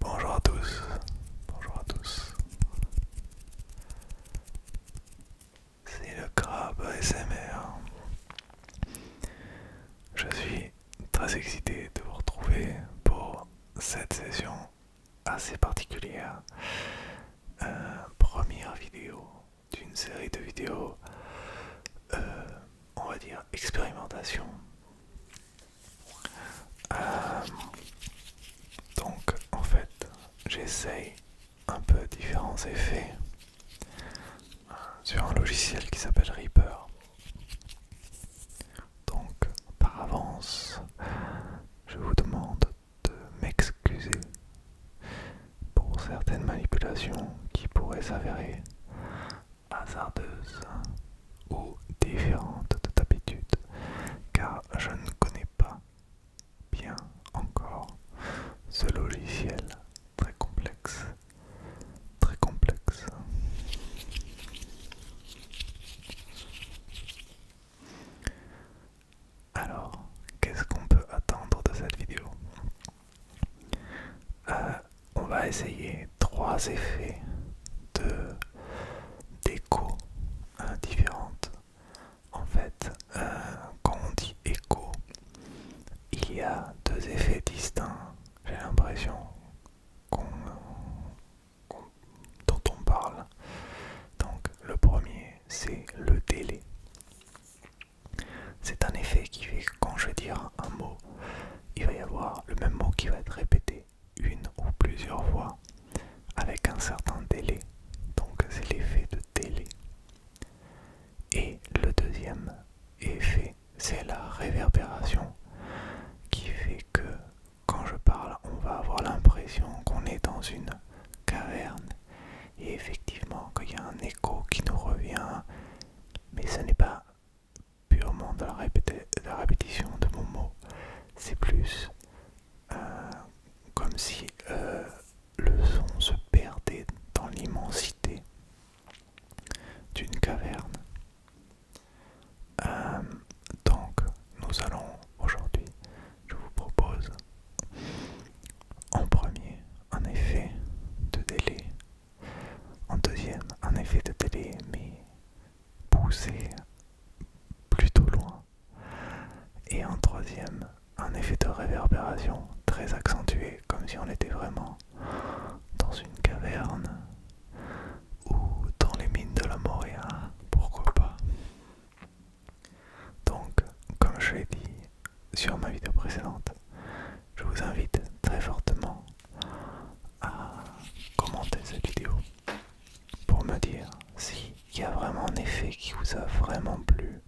Bonjour à tous, bonjour à tous. C'est le crabe SMR. Je suis très excité de vous retrouver pour cette session assez particulière. Euh, première vidéo d'une série de vidéos euh, on va dire, expérimentation. Euh, donc, en fait, j'essaye un peu différents effets euh, sur un logiciel qui s'appelle Reaper. Donc, par avance, je vous demande de m'excuser pour certaines manipulations qui pourraient s'avérer hasardeuse ou différente de d'habitude, car je ne connais pas bien encore ce logiciel très complexe, très complexe. Alors, qu'est-ce qu'on peut attendre de cette vidéo euh, on va essayer trois effets de d'écho différents. différentes. En fait, euh, quand on dit écho, il y a deux effets distincts. J'ai l'impression dont on parle. Donc le premier, c'est le délai. C'est un effet qui fait que quand je vais dire un mot, il va y avoir le même mot qui va être répété une ou plusieurs fois avec un certain délai. Donc c'est l'effet de délai. Et le deuxième effet, c'est la réverbération qui fait que quand je parle, on va avoir l'impression qu'on est dans une caverne. Et effectivement, qu'il y a un écho qui nous revient, mais ce n'est pas purement de la, répétition de mon mot. C'est plus euh, comme si euh, le son se perdait dans l'immensité d'une caverne. Euh, donc, nous allons aujourd'hui, je vous propose en premier un effet de délai en deuxième, un effet de télé, mais poussé plutôt loin. Et en troisième, un effet de réverbération très accentué, comme si on était vraiment dans une caverne ou dans les mines de la Moréa, pourquoi pas. Donc, comme je l'ai dit sur ma vidéo précédente, je vous invite très fortement à commenter cette vidéo pour me dire s'il y a vraiment un effet qui vous a vraiment plu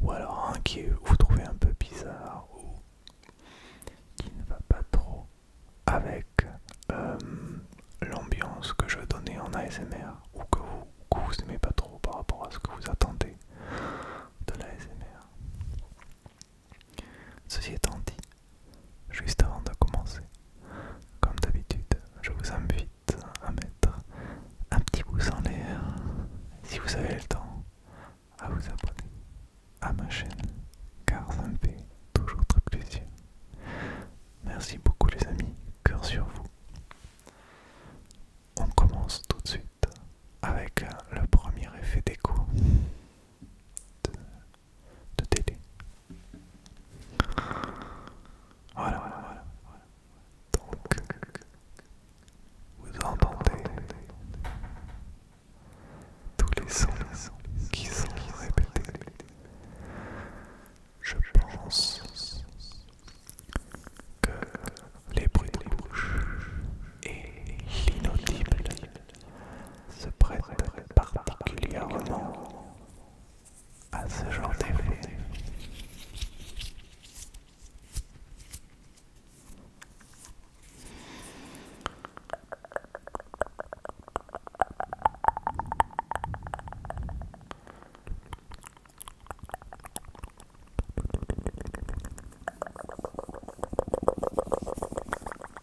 ou alors un qui vous trouvez un peu bizarre ou qui ne va pas trop avec euh, l'ambiance que je donnais en ASMR ou que vous, que pas trop par rapport à ce que vous attendez de l'ASMR Ceci étant dit, juste avant de commencer, comme d'habitude, je vous invite à mettre un petit pouce en l'air si vous avez le temps, à vous abonner à ma chaîne car ça me fait toujours très plaisir. Merci beaucoup les amis, cœur sur vous. On commence tout de suite avec le premier effet d'écho de télé. Voilà, voilà, voilà. Donc, vous entendez tous les sons qui sont répétés. Je pense que les bruits de bouche et l'inaudible se prête particulièrement à ce genre d'effet.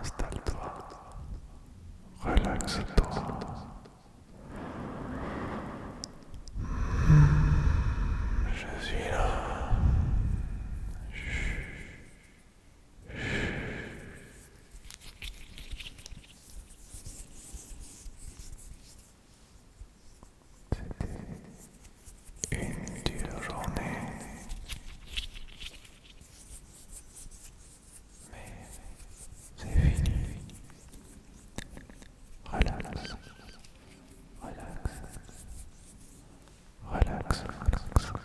Installe-toi, relaxe-toi. Je suis là. C'était une dure journée, mais c'est fini. Relax, relax, relax, relax.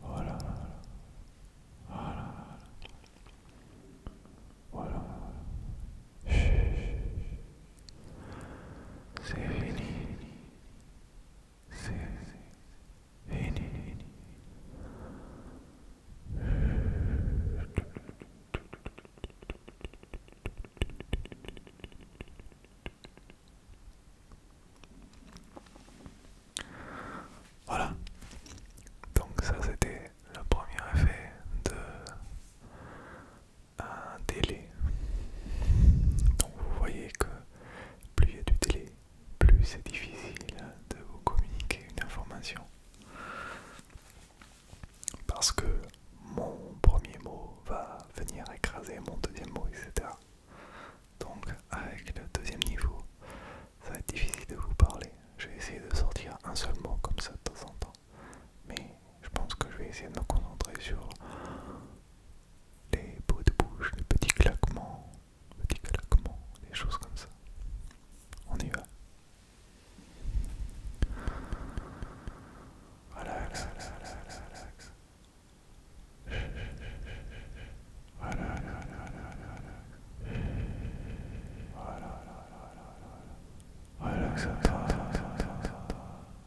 Voilà, voilà, voilà, c'est fini, Voilà, donc ça c'était le premier effet de un délai. Donc vous voyez que plus il y a du délai, plus c'est difficile de vous communiquer une information. Parce que mon premier mot va venir écraser mon deuxième mot, etc. Donc avec le deuxième niveau, ça va être difficile de vous parler. Je vais essayer de sortir un seul mot comme ça de temps en temps. Mais je pense que je vais essayer de me concentrer sur les beaux de bouche, les petits claquements, petits claquements, des choses comme ça. On y va.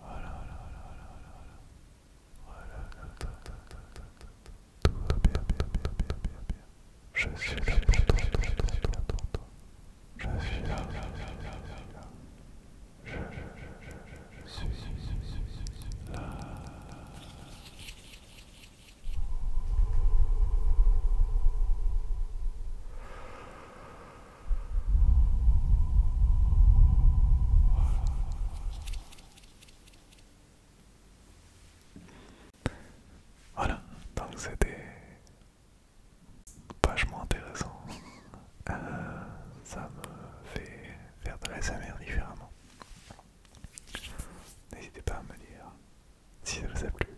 Voilà, voilà, voilà, voilà, voilà. bien, bien, bien, bien, voilà, donc c'était vachement intéressant. Euh, ça me fait faire de la différemment. N'hésitez pas à me dire si ça vous a plu.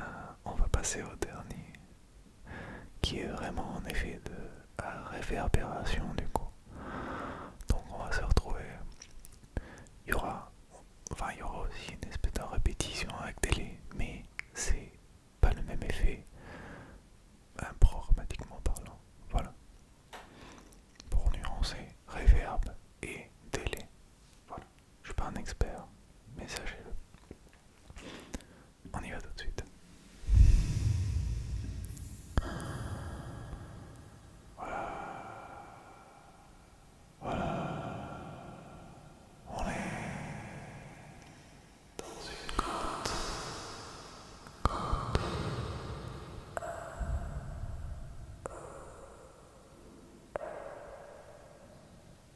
Euh, on va passer au dernier qui est vraiment en effet de réverbération du coup. Donc on va se retrouver. Il y aura, enfin il y aura aussi une espèce de répétition avec délai, mais c'est pas le même effet, programmatiquement parlant. Voilà. Pour nuancer, reverb et délai. Voilà. Je suis pas un expert, mais sachez-le. On y va tout de suite. Voilà. Voilà. On est dans une grotte. grotte.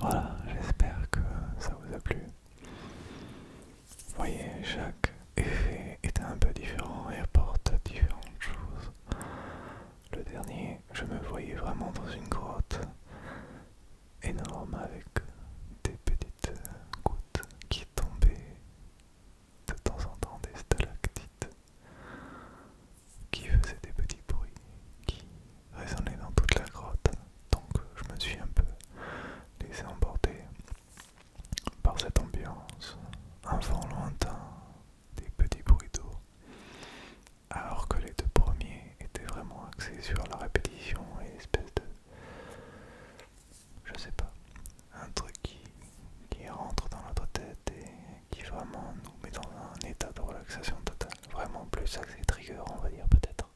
Voilà, j'espère que ça vous a plu. Vous voyez, chaque effet est un peu différent et apporte différentes choses. Le dernier, je me voyais vraiment dans une grotte énorme avec des petites gouttes qui tombaient de temps en temps des stalactites qui faisait des petits bruits qui résonnaient dans toute la grotte. Donc je me suis un peu laissé emporter par cette ambiance, un vent lointain, des petits bruits d'eau, alors que les deux premiers étaient vraiment axés sur la répétition et espèce de... je sais pas, un truc qui, qui rentre dans notre tête et qui vraiment nous met dans un état de relaxation totale. Vraiment plus axé trigger, on va dire peut-être.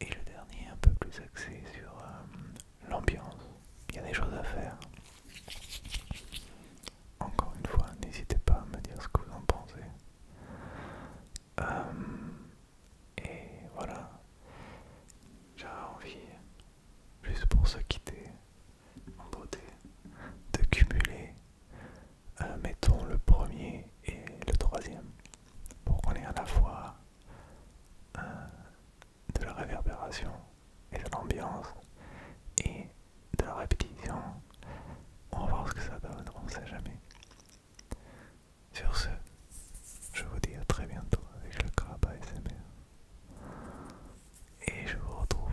Et le dernier, un peu plus axé sur euh, l'ambiance. Il y a des choses à faire. Encore une fois, n'hésitez pas à me dire ce que vous en pensez. Euh, et voilà, J'ai envie, juste pour se quitter en beauté, de cumuler euh, mettons le premier et le troisième pour qu'on ait à la fois euh, de la réverbération et de l'ambiance et de la répétition. On va voir ce que ça donne, on ne sait jamais. Sur ce, je vous dis à très bientôt avec le crabe ASMR. Et je vous retrouve